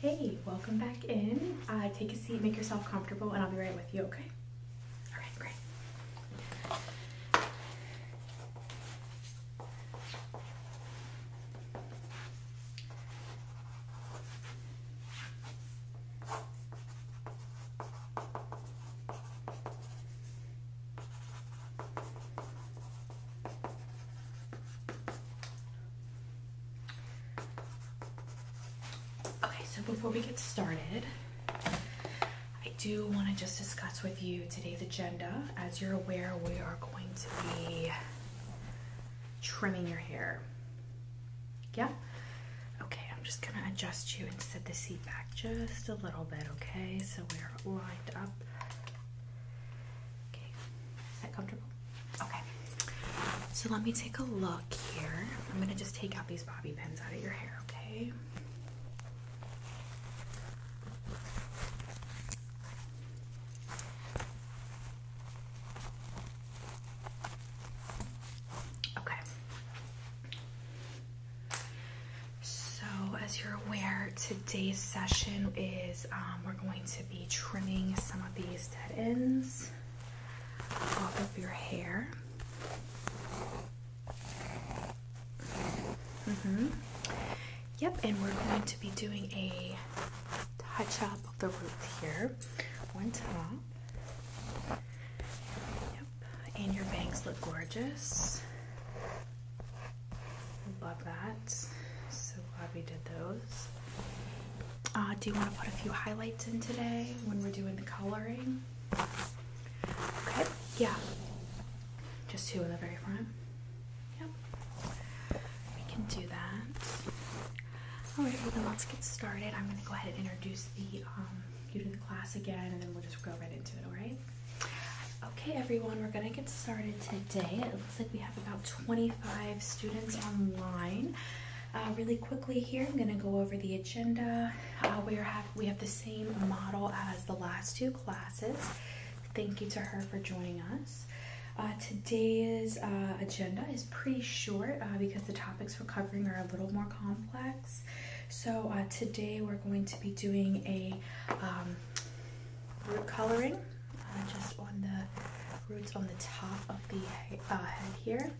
Hey, welcome back in. Uh, take a seat, make yourself comfortable, and I'll be right with you, okay? All right, great. Okay, so before we get started, I do want to just discuss with you today's agenda. As you're aware, we are going to be trimming your hair. Yeah? Okay, I'm just going to adjust you and set the seat back just a little bit, okay? So we are lined up. Okay, is that comfortable? Okay. So let me take a look here. I'm going to just take out these bobby pins out of your hair, okay? Okay. So, as you're aware, today's session is um, we're going to be trimming some of these is ends off of your hair. Mm -hmm. Yep, and we're going to be doing a touch up of the roots here. One top. Yep, and your bangs look gorgeous. Love that. So glad we did those. Uh, do you want to put a few highlights in today when we're doing the coloring? Okay, yeah. Just two in the very front. Yep. We can do that. Alright, then let's get started. I'm going to go ahead and introduce the um, you to the class again and then we'll just go right into it, alright? Okay, everyone, we're going to get started today looks like we have about 25 students online. Uh, really quickly here, I'm gonna go over the agenda. Uh, we, are have, we have the same model as the last two classes. Thank you to her for joining us. Uh, today's agenda is pretty short because the topics we're covering are a little more complex. So today we're going to be doing a um, root coloring just on the roots on the top of the uh, head here,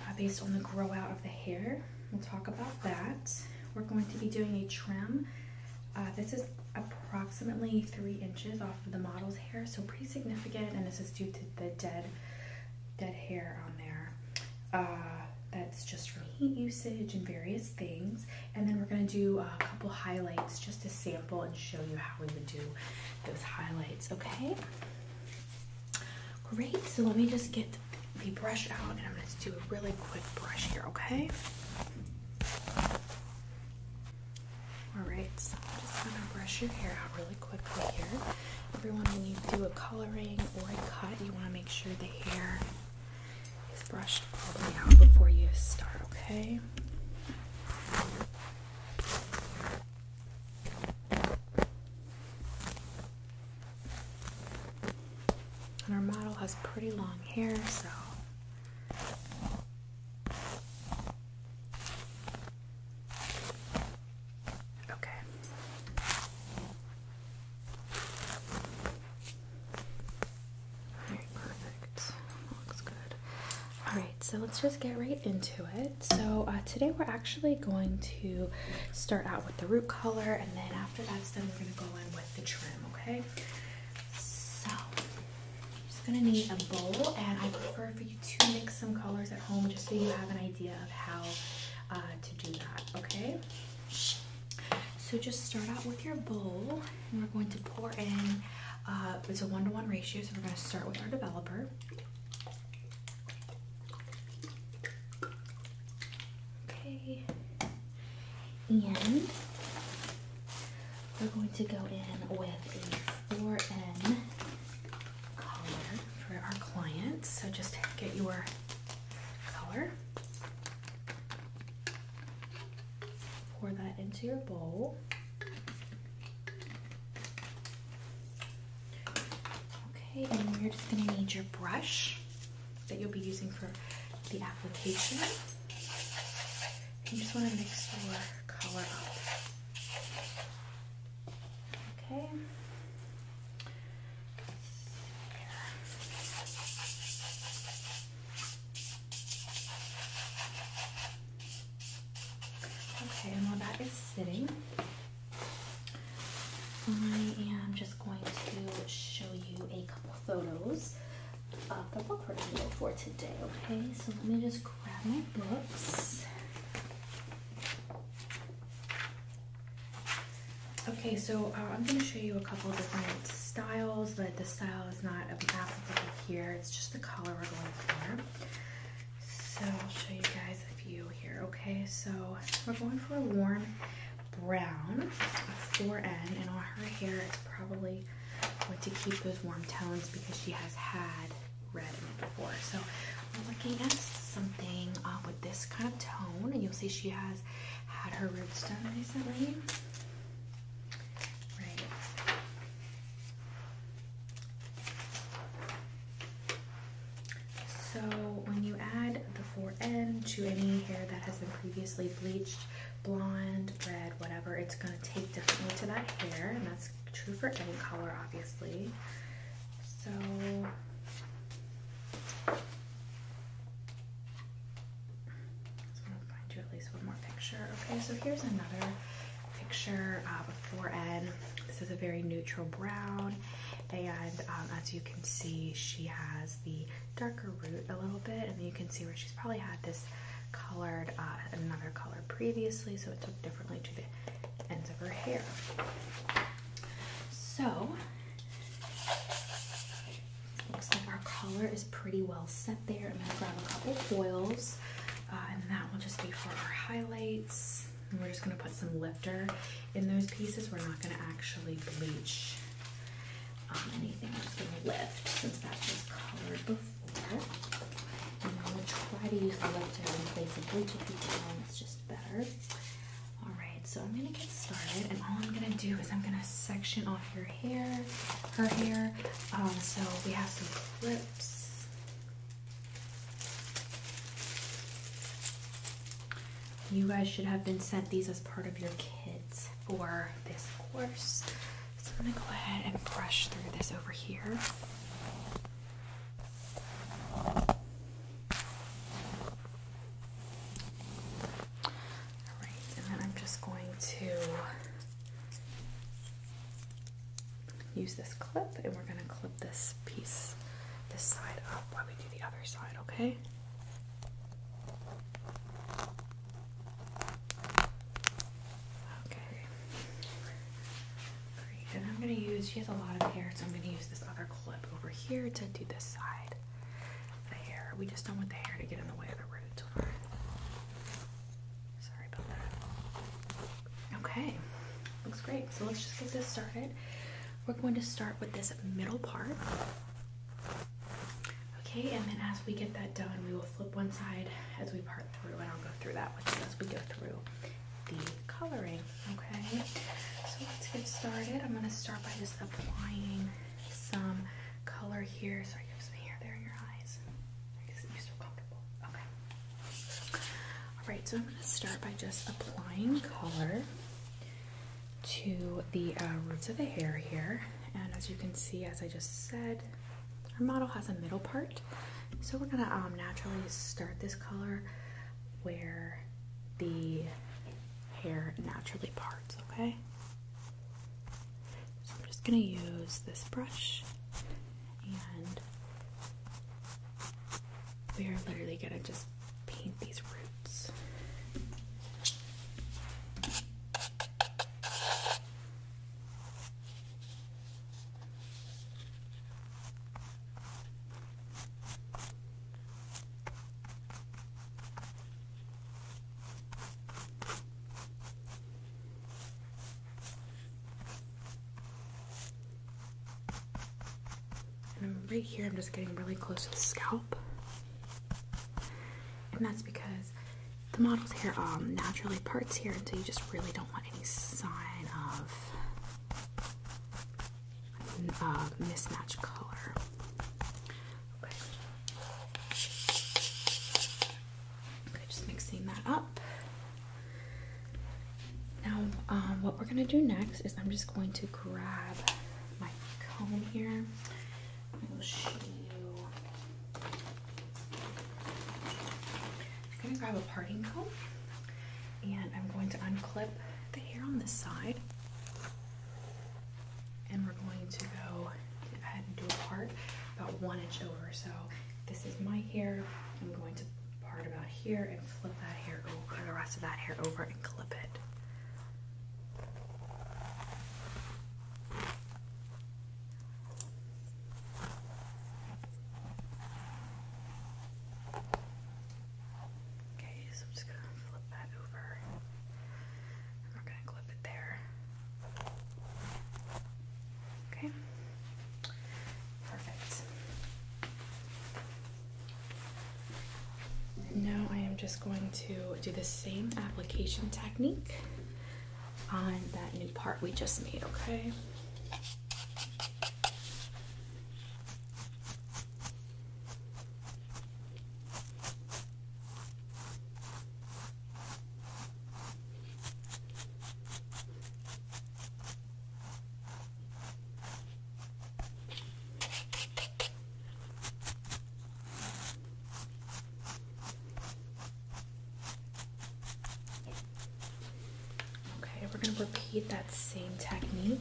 uh, based on the grow out of the hair. We'll talk about that. We're going to be doing a trim. Uh, this is approximately three inches off of the model's hair, so pretty significant. And this is due to the dead, dead hair on there. that's just from heat usage and various things. And then we're gonna do a couple highlights just to sample and show you how we would do those highlights, okay? Great, so let me just get the brush out and I'm gonna do a really quick brush here, okay? Alright, so I'm just gonna brush your hair out really quickly here. Everyone, when you do a coloring or a cut, you wanna make sure the hair is brushed all the way out before you start, okay? And our model has pretty long hair, so okay. perfect. Looks good. All right, so let's just get right into it. So uh, today we're actually going to start out with the root color, and then after that's done, we're gonna go in with the trim. Okay. So I'm just gonna need a bowl, and I prefer for you to mix some colors at home, just so you have an idea of how uh, to do that. Okay. So just start out with your bowl, and we're going to pour in uh, it's a one-to-one ratio, so we're going to start with our developer. Okay, and we're going to go in with a 4N color for our clients. So just get your color, pour that into your bowl. Okay, and you're just gonna need your brush that you'll be using for the application. you just wanna mix your color up. Okay. Okay, and while that is sitting, I am just going to show you a couple photos of the book we're going to go for today, okay? So let me just grab my books. Okay, so uh, I'm going to show you a couple different styles, but the style is not applicable here. It's just the color we're going for. So I'll show you guys a few here. Okay, so we're going for a warm brown, for n and on her hair it's probably going to keep those warm tones because she has had red before. So we're looking at something with this kind of tone, and you'll see she has had her roots done recently. Right. So when you add the four N to any hair that has been previously bleached, blonde, red, whatever, it's gonna take differently to that hair, and that's true for any color, obviously. So I'm find you at least one more picture. Okay, so here's another picture of uh, a forehead. This is a very neutral brown, and um, as you can see, she has the darker root a little bit, and you can see where she's probably had this colored uh, another color previously, so it took differently to the ends of her hair. So looks like our color is pretty well set there. I'm gonna grab a couple foils. Uh, and that will just be for our highlights. we're just gonna put some lifter in those pieces. We're not gonna actually bleach um, anything. We're just gonna lift since that was colored before. And I'm gonna try to use the lifter in place of bleach if we can. It's just better. All right, so I'm gonna get started, and all I'm gonna do is I'm gonna section off your hair, her hair. Um, so we have some clips. You guys should have been sent these as part of your kids for this course. So I'm gonna go ahead and brush through this over here. Alright, and then I'm just going to use this clip and we're going to clip this piece, this side up while we do the other side, okay? Okay. And I'm going to use, she has a lot of hair, so I'm going to use this other clip over here to do this side. The hair. We just don't want the hair to get in the way of the roots. Sorry about that. Okay, looks great. So let's just get this started. We're going to start with this middle part. Okay, and then as we get that done, we will flip one side as we part through, and I'll go through that with you as we go through the coloring. Okay, so let's get started. I'm going to start by just applying some color here. Sorry, you have some hair there in your eyes. I guess you're so comfortable. Okay. Alright, so I'm going to start by just applying color to the uh, roots of the hair here. And as you can see, as I just said, our model has a middle part. So we're going to um, naturally start this color where the hair naturally parts, okay? So I'm just going to use this brush and we are literally gonna just paint these roots. And right here, I'm just getting really close to the scalp. And that's because the model's hair um, naturally parts here, and so you just really don't want any sign of mismatch color. okay, just mixing that up. Now, um, what we're gonna do next is I'm just going to grab my comb here. I'm gonna grab a parting comb and I'm going to unclip the hair on this side. And we're going to go ahead and do a part about one inch over. So this is my hair. I'm going to part about here and flip that hair over, the rest of that hair over and clip it. Okay, so I'm just gonna flip that over we're gonna clip it there. Okay, Perfect. now I am just going to do the same application technique on that new part we just made, okay? Okay, we're going to repeat that same technique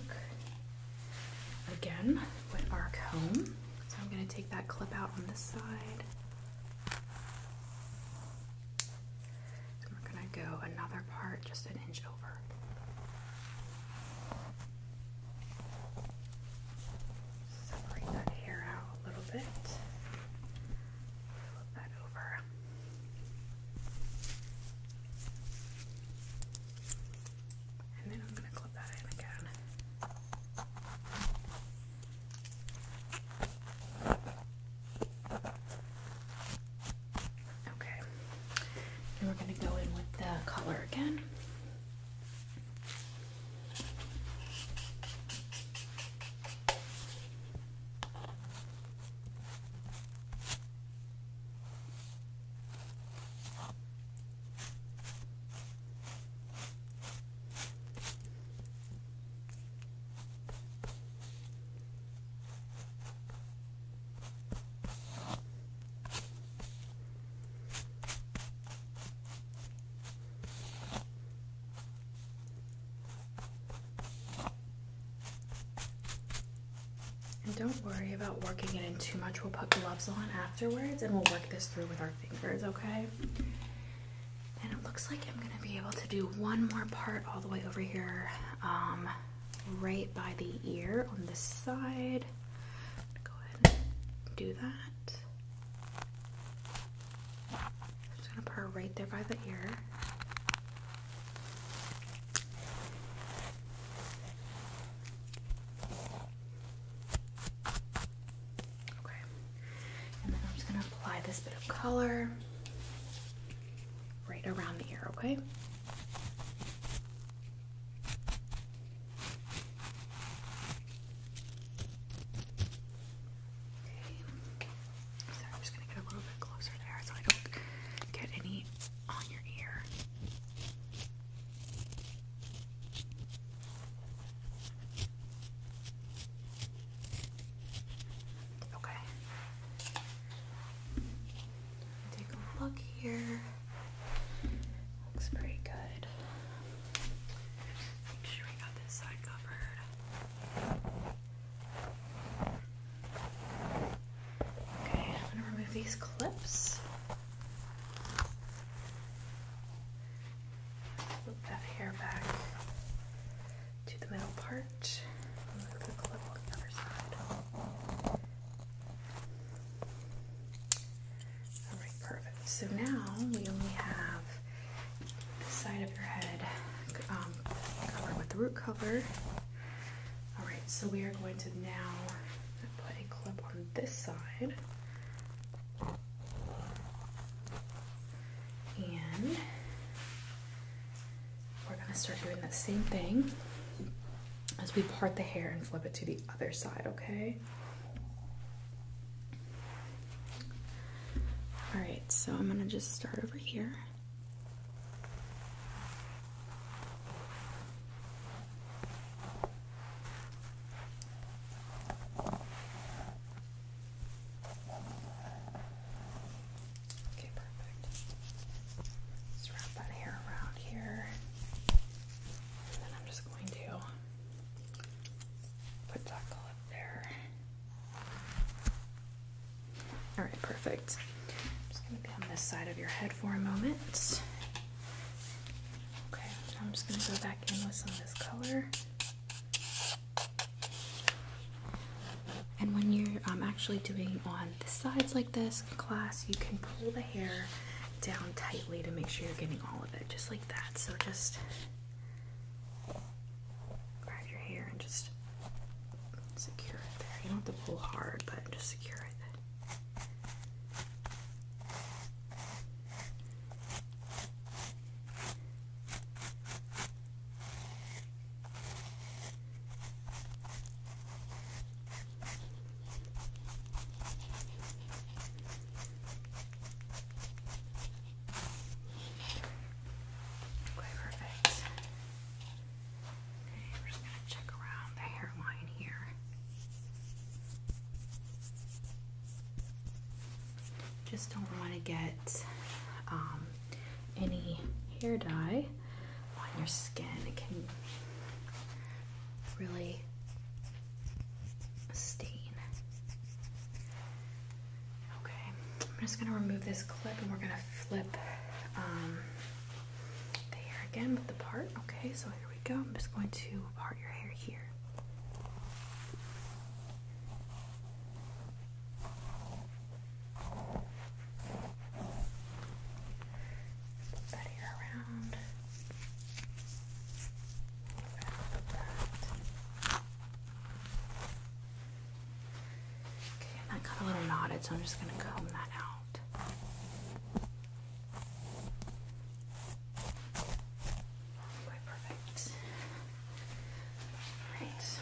again with our comb. So I'm going to take that clip out on this side. And we're going to go another part just an inch over. Separate that hair out a little bit. Flip that over. And then I'm going to clip that in again. Okay. we're going to go in with the color again. And don't worry about working it in too much. We'll put gloves on afterwards and we'll work this through with our fingers, okay? And it looks like I'm gonna be able to do one more part all the way over here. Um, right by the ear on this side. Go ahead and do that. just gonna put right there by the ear. Okay, and then I'm just gonna apply this bit of color right around the ear, okay? Sorry, I'm just gonna get a little bit closer there so I don't get any on your ear. Okay. Take a look here. Looks pretty good. Make sure we got this side covered. Okay, I'm gonna remove these clips. Flip that hair back to the middle part perfect. So now we only have the side of your head um, covered with the root cover. Alright, so we are going to now put a clip on this side. And we're gonna start doing the same thing as we part the hair and flip it to the other side, okay? All right, so I'm gonna just start over here. Okay, perfect. Let's wrap that hair around here. And then I'm just going to put that clip there. Alright, perfect. I'm just going to be on this side of your head for a moment. Okay, I'm just going to go back in with some of this color. And when you're um, actually doing on the sides like this class you can pull the hair down tightly to make sure you're getting all of it just like that so just grab your hair and just secure it there you don't have to pull hard but just secure it Okay, perfect. Okay, we're just gonna check around the hairline here. Just don't want to get um, any hair dye on your skin. It can really stain. Okay, I'm just gonna remove this clip and we're gonna flip um, the hair again with the part. Okay, so here we go. I'm just going to part your hair here. Put that here around. Okay, that got a little knotted, so I'm just gonna comb that out. Okay, perfect. Alright, so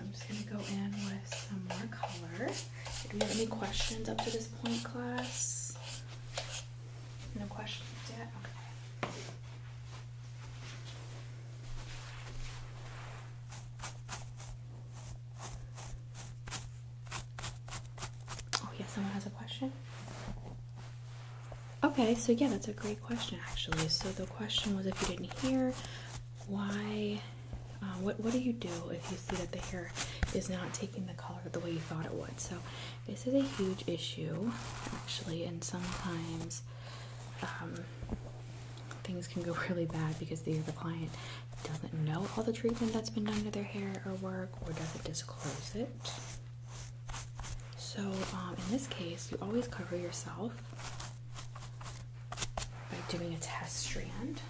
I'm just gonna go in with some more color. Do we have any questions up to this point, class? No questions yet? Okay. Oh, yeah, someone has a question? Okay, so yeah, that's a great question actually. So the question was if you didn't hear, why uh, what what do you do if you see that the hair is not taking the color the way you thought it would? So this is a huge issue, actually, and sometimes um, things can go really bad because the the client doesn't know all the treatment that's been done to their hair or work, or doesn't disclose it. So um, in this case, you always cover yourself by doing a test strand.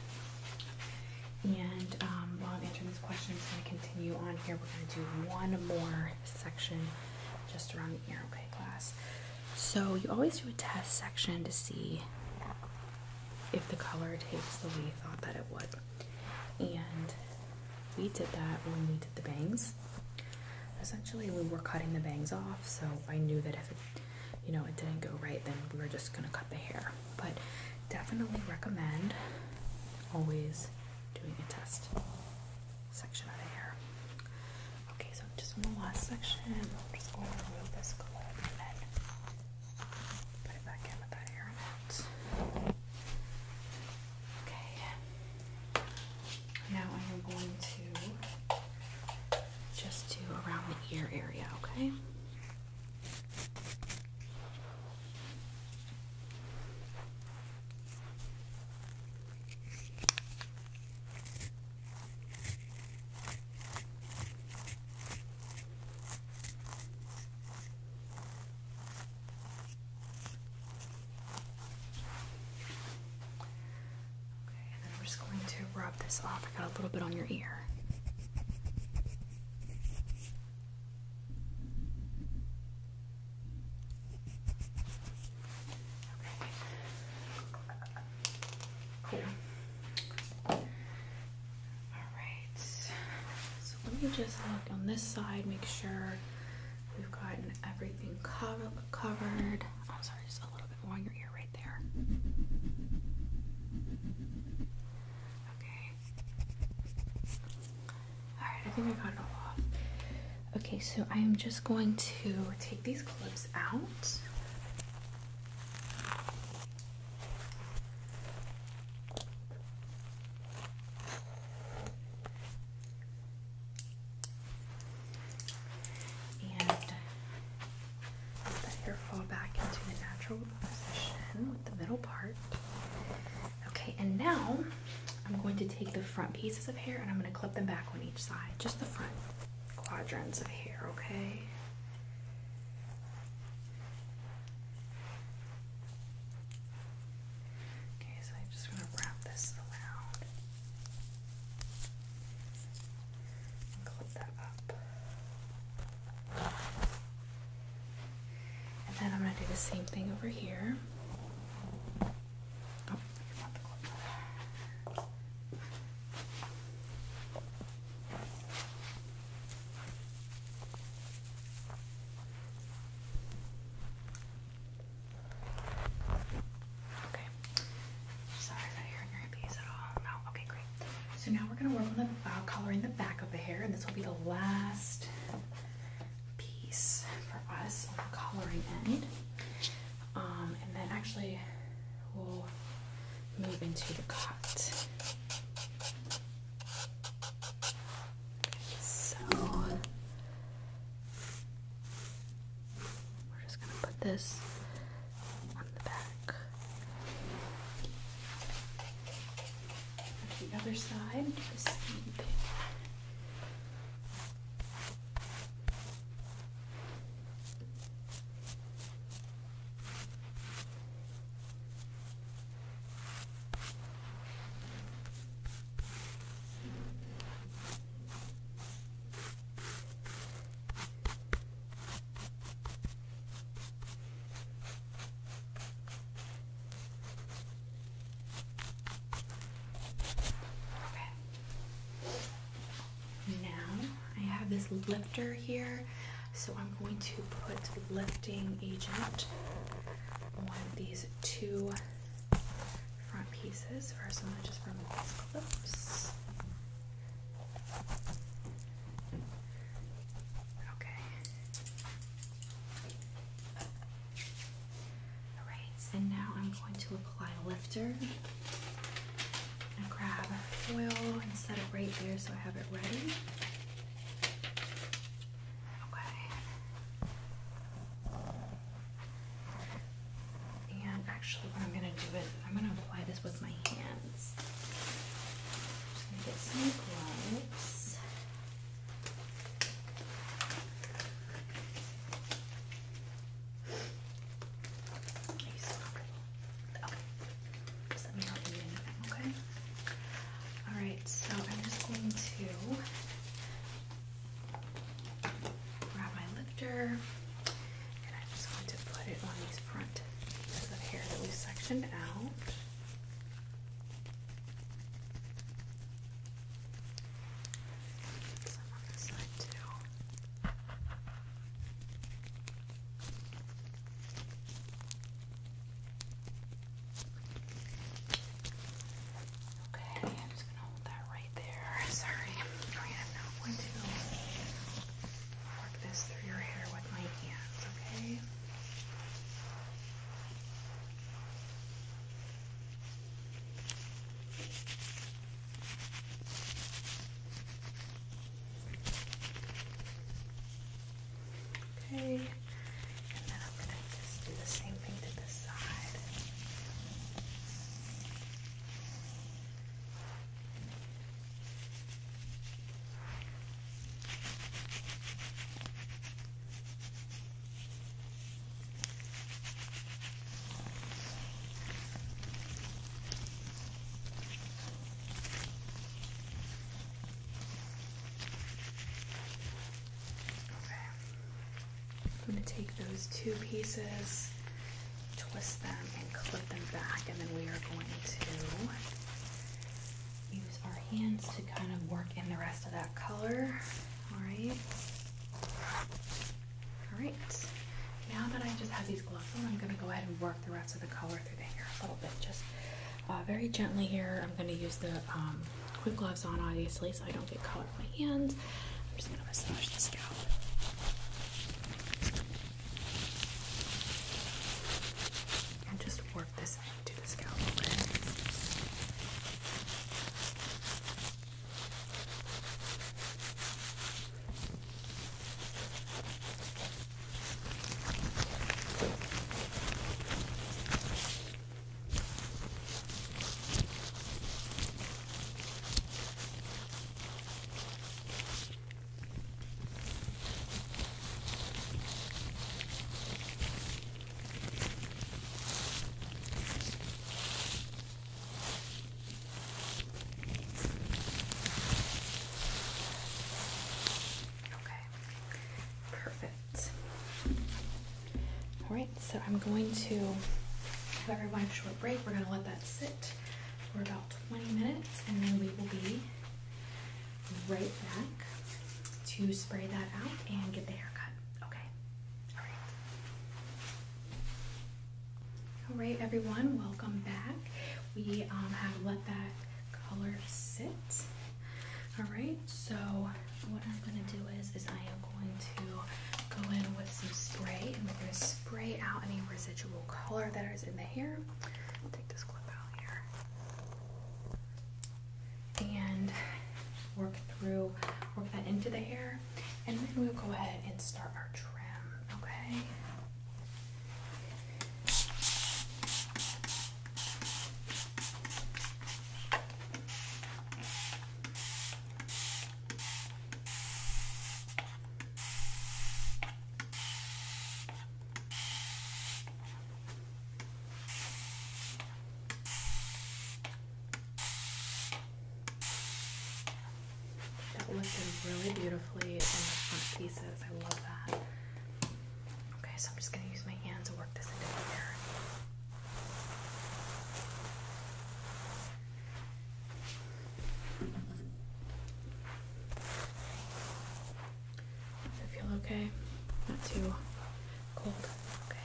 And um, while I'm answering this question, I'm going to continue on here. We're going to do one more section just around the ear, okay, class? So you always do a test section to see if the color takes the way you thought that it would. And we did that when we did the bangs. Essentially, we were cutting the bangs off, so I knew that if it you know it didn't go right then we are just gonna cut the hair but definitely recommend always doing a test section of the hair okay so just in the last section i'm just going to remove this clip and then put it back in with that hair okay now i am going to just do around the ear area okay Okay, and then we just going to rub this off. I got a little bit on your ear. Cool. All right. So let me just look on this side, make sure we've gotten everything covered. I'm sorry, just a little bit more on your ear right there. Okay. Alright, I think I got it all off. Okay, so I am just going to take these clips out. And let the hair fall back into the natural position with the middle part. Okay, and now I'm going to take the front pieces of hair and I'm going to clip them back on each side, just the front quadrants of hair, okay? Okay, so I'm just going to wrap this around and clip that up. And then I'm going to do the same thing over here. Oh, okay. Sorry, is that hurting your piece at all? No. Okay, great. So now we're gonna work on the uh, coloring the back of the hair, and this will be the last piece for us on the coloring end. Um, and then actually we'll move into the cut. So we're just gonna put this on the back. And the other side, do the same thing. Okay. Now I have this lifter here, so I'm going to put lifting agent on these two front pieces. First, I'm going to just remove these clips. Okay. Alright, and now I'm going to apply a lifter. i grab foil and set it right there so I have it ready. Okay. And actually what I'm gonna do is I'm gonna apply this with my hands. Alright, so I'm just going to grab my lifter and I'm just going to put it on these front pieces of hair that we sectioned out. Okay, I'm just gonna hold that right there. Sorry, I am not going to work this through your hair with my hands, okay? Okay, and then I'm going to just do the same thing to this side. I'm going to take those two pieces, twist them, and clip them back, and then we are going to use our hands to kind of work in the rest of that color. All right. All right. Now that I just have these gloves on, I'm going to go ahead and work the rest of the color through the hair a little bit. Just uh, very gently here. I'm going to use the um, quick gloves on, obviously, so I don't get color on my hands. I'm just going to massage the scalp. And just work this do the scalp a bit. Okay. Okay, perfect. All right, so I'm going to have everyone a short break. We're going to let that sit for about 20 minutes and then we will be right back to spray that out and get the haircut. Okay. All right. everyone. Welcome back. We um, have let that color sit. All right. So what I'm going to do is, is I am going to go in with some spray and we're going to spray out any residual color that is in the hair. take this clip out here and work through, work that into the hair, and then we'll go ahead and start our trim, okay? That looks really beautifully on the front pieces. I love that. Okay, so I'm just gonna use my hands to work this into here. Okay, I feel okay. Not too cold. Okay. Okay.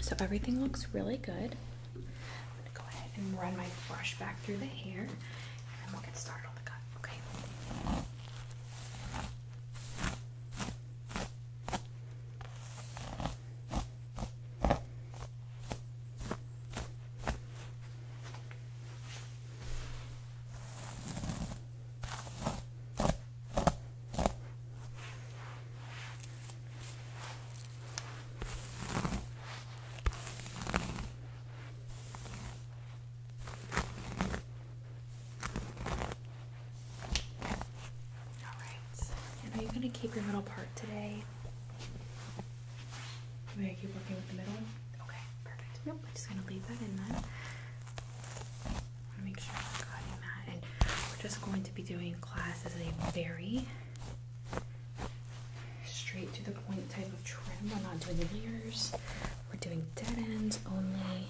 So everything looks really good. I'm gonna go ahead and run my brush back through the hair, and then we'll get started on the cut. Okay. Alright. And are you gonna keep your middle part today? May I keep working with the middle? Okay, perfect. Nope, I'm just gonna leave that in then. I want to make sure I'm cutting that. And we're just going to be doing class as a very straight to the point type of trim. We're not doing layers. We're doing dead ends only.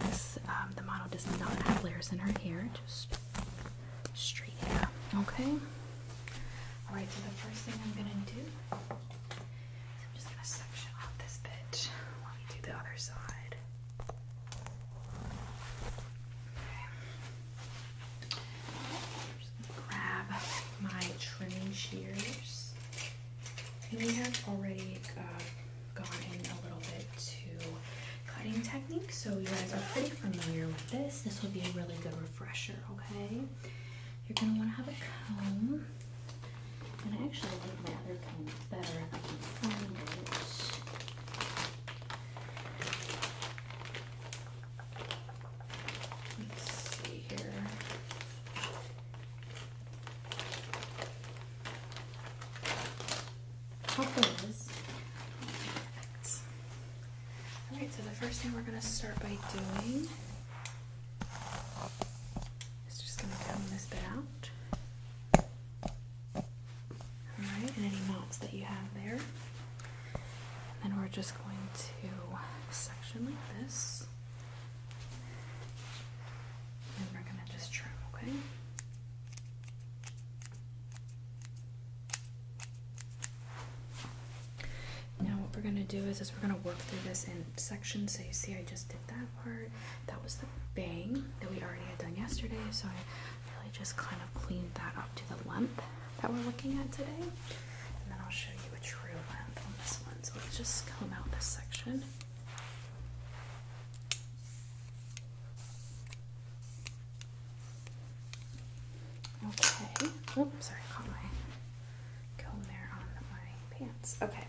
This um, the model does not have layers in her hair. Just straight hair. Okay. All right. So the first thing I'm gonna do is I'm just gonna section off this bitch. while we do the other side grab my trimming shears. And we have already uh, gone a little bit to cutting technique, so you guys are pretty familiar with this. This will be a really good refresher, okay? You're going to want to have a comb. And I actually like my other comb better if I can find it. All right, so the first thing we're going to start by doing is just going to comb this bit out and any knots that you have there. And then we're just going to section like this. And we're going to just trim, okay? Now what we're going to do is, is we're going to work through this in sections. So you see I just did that part. That was the bang that we already had done yesterday. So I really just kind of cleaned that up to the length that we're looking at today. And then I'll show you a true length on this one. So let's just comb out this section. Okay. Oops, sorry, I caught my comb there on my pants. Okay,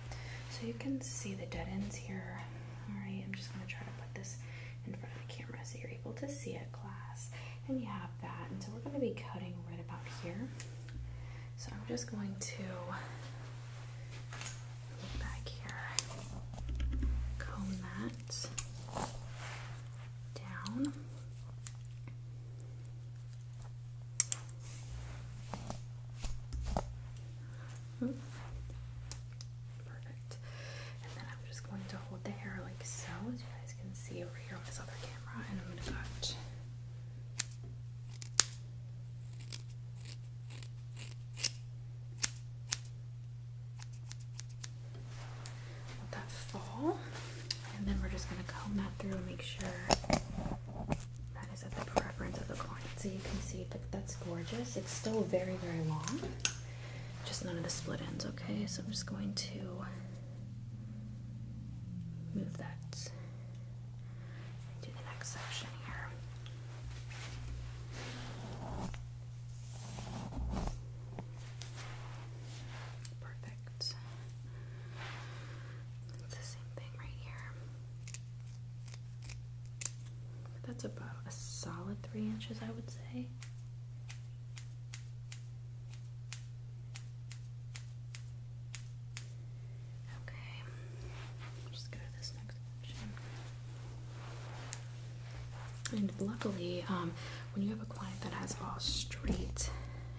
so you can see the dead ends here. All right, I'm just gonna try to put this in front of the camera so you're able to see it, class. And you have that. And so we're going to be cutting right about here. So I'm just going to move back here, comb that down. Perfect. And then I'm just going to hold the hair like so, as you guys can see over here on this other camera, and I'm gonna cut. Let that fall, and then we're just gonna comb that through and make sure that is at the preference of the client. So you can see that that's gorgeous. It's still very, very long just none of the split ends, okay? So I'm just going to move that to the next section here. Perfect. It's the same thing right here. That's about a solid three inches, I would say. Okay, just go to this next option. And luckily, um, when you have a client that has all straight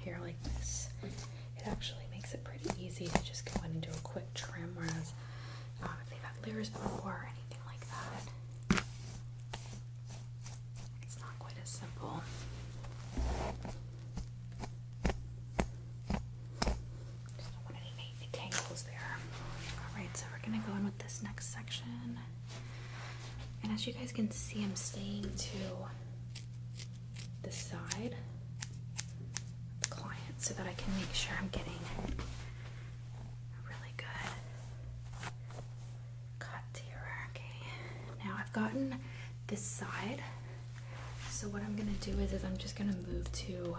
hair like this, it actually makes it pretty easy to just go in and do a quick trim. Whereas um, if they've had layers before or anything like that, it's not quite as simple. Just don't want any tangles there. Alright, so we're gonna go in with this next section. And as you guys can see, I'm staying to the side of the client so that I can make sure I'm getting a really good cut here. Eh? Okay, now I've gotten this side. So what I'm gonna do is, is I'm just gonna move to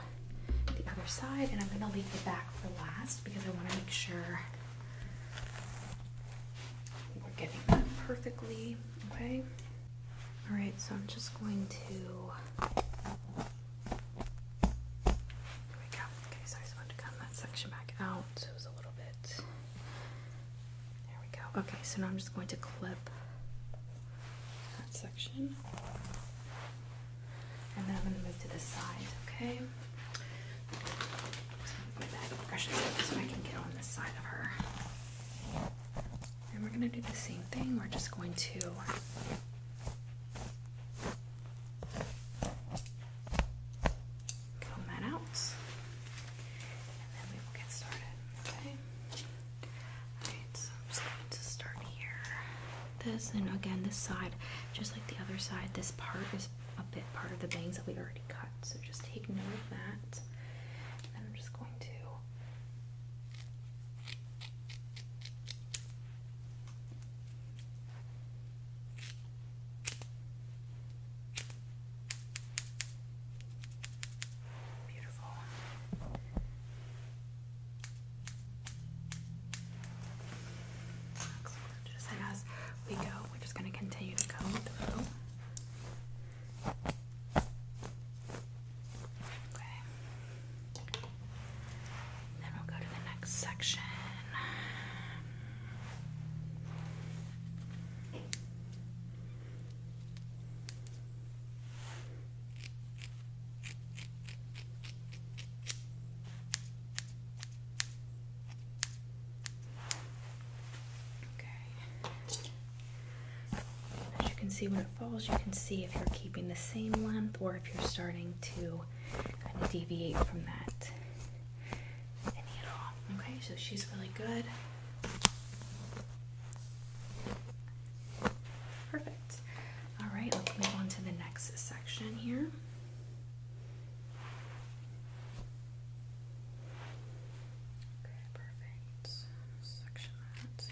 the other side and I'm gonna leave the back for last because I wanna make sure we're getting that perfectly, okay? All right, so I'm just going to out. Okay, so I just wanted to cut that section back out. So it was a little bit there we go. Okay, so now I'm just going to clip that section. And then I'm going to move to the side, okay? my bag of brushes so I can get on the side of her. And we're going to do the same thing. We're just going to comb that out, and then we will get started. Okay. Alright, I'm just going to start here. This, and again, this side, just like the other side, this part is a bit part of the bangs that we already cut. So just take note of that. then I'm just going to just as we go, we're just going to continue to go through. Okay. Then we'll go to the next section. As you can see when it falls, you can see if you're keeping the same length or if you're starting to kind of deviate from that. Okay, so she's really good. Perfect. All right, let's move on to the next section here. Okay, perfect. Section that.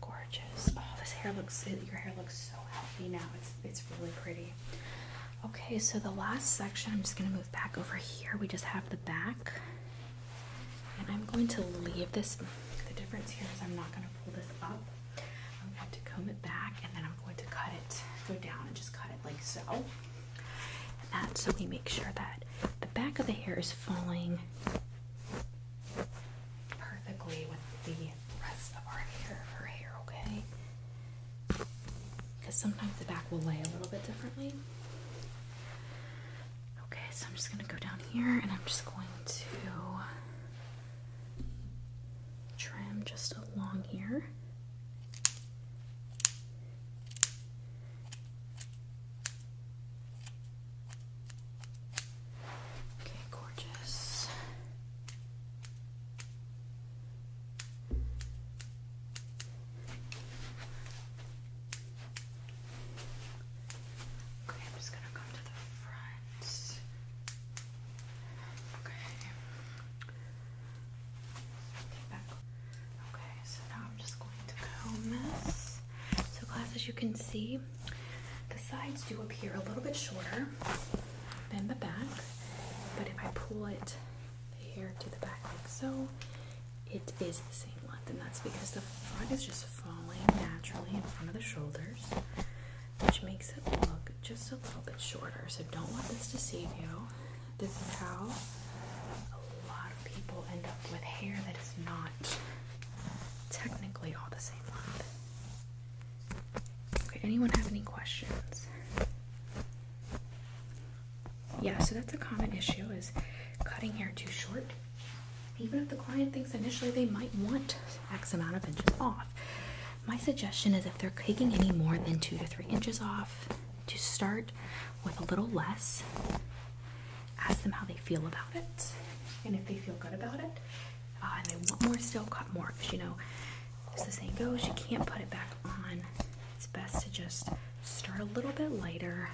Gorgeous. Oh, this hair looks, your hair looks so healthy now. It's, it's really pretty. Okay, so the last section, I'm just going to move back over here. We just have the back. And I'm going to leave this. The difference here is I'm not going to pull this up. I'm going to comb it back and then I'm going to cut it, go down and just cut it like so. And that's so we make sure that the back of the hair is falling perfectly with the rest of our hair, her hair, okay? Because sometimes the back will lay a little bit differently. Okay, so I'm just going to go down here and I'm just going to trim just along here. Okay, gorgeous. Okay, I'm just gonna come to the front. Okay. Okay, back. Okay, so now I'm just going to comb this. So glass, as you can see, the sides do appear a little bit shorter than the back, but if I pull it here to the back like so, it is the same length, and that's because the front is just falling naturally in front of the shoulders, which makes it look just a little bit shorter. So don't let this deceive you. This is how a lot people end up with hair that is not technically all the same length. Okay, anyone have any questions? Yeah, so that's a common issue is cutting hair too short. Even if the client thinks initially they might want X amount of inches off. My suggestion is if they're taking any more than two to three inches off, to start with a little less ask them how they feel about it, and if they feel good about it, uh, and they want more, still cut more. Because you know, as the saying goes, you can't put it back on. It's best to just start a little bit lighter,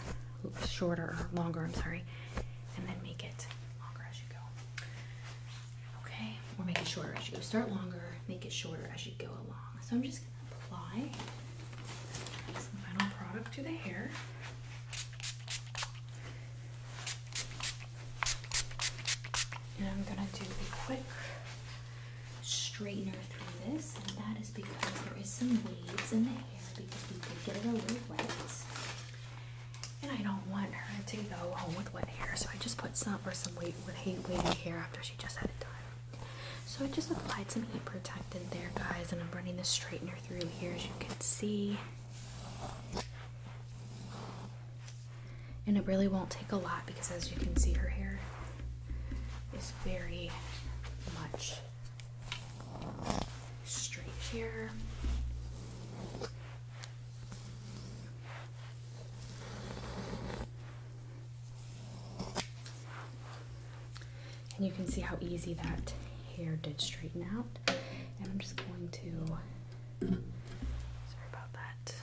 shorter or longer. I'm sorry, and then make it longer as you go. Okay, or make it shorter as you go. Start longer, make it shorter as you go along. So I'm just gonna apply some final product to the hair. And I'm going to do a quick straightener through this, and that is because there is some waves in the hair because we did get it a little wet. And I don't want her to go home with wet hair, so I just put some or some weight with heat wavy hair after she just had it done. So I just applied some heat protectant there, guys, and I'm running the straightener through here as you can see. And it really won't take a lot because as you can see her hair is very much straight hair, And you can see how easy that hair did straighten out and I'm just going to sorry about that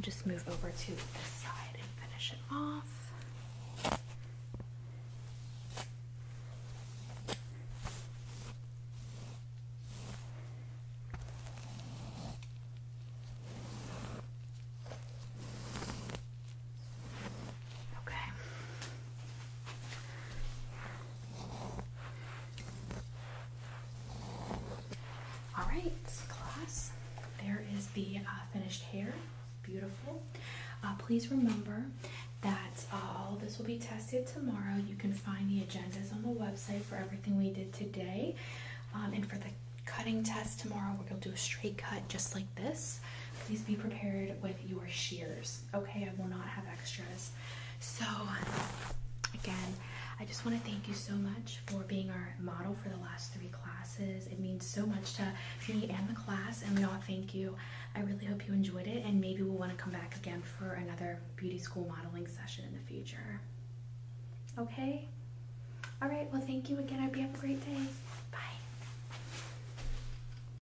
just move over to this side and finish it off Okay. All right, class. There is the uh, finished hair. Beautiful. Uh, please remember that uh, all this will be tested tomorrow. You can find the agendas on the website for everything we did today. Um, and for the cutting test tomorrow, we're going to do a straight cut just like this. Please be prepared with your shears okay, I will not have extras. So, again, I just want to thank you so much for being our model for the last three classes. It means so much to me and the class, and we all thank you. I really hope you enjoyed it, and maybe we'll want to come back again for another beauty school modeling session in the future. Okay? All right, well, thank you again. I hope you have a great day. Bye.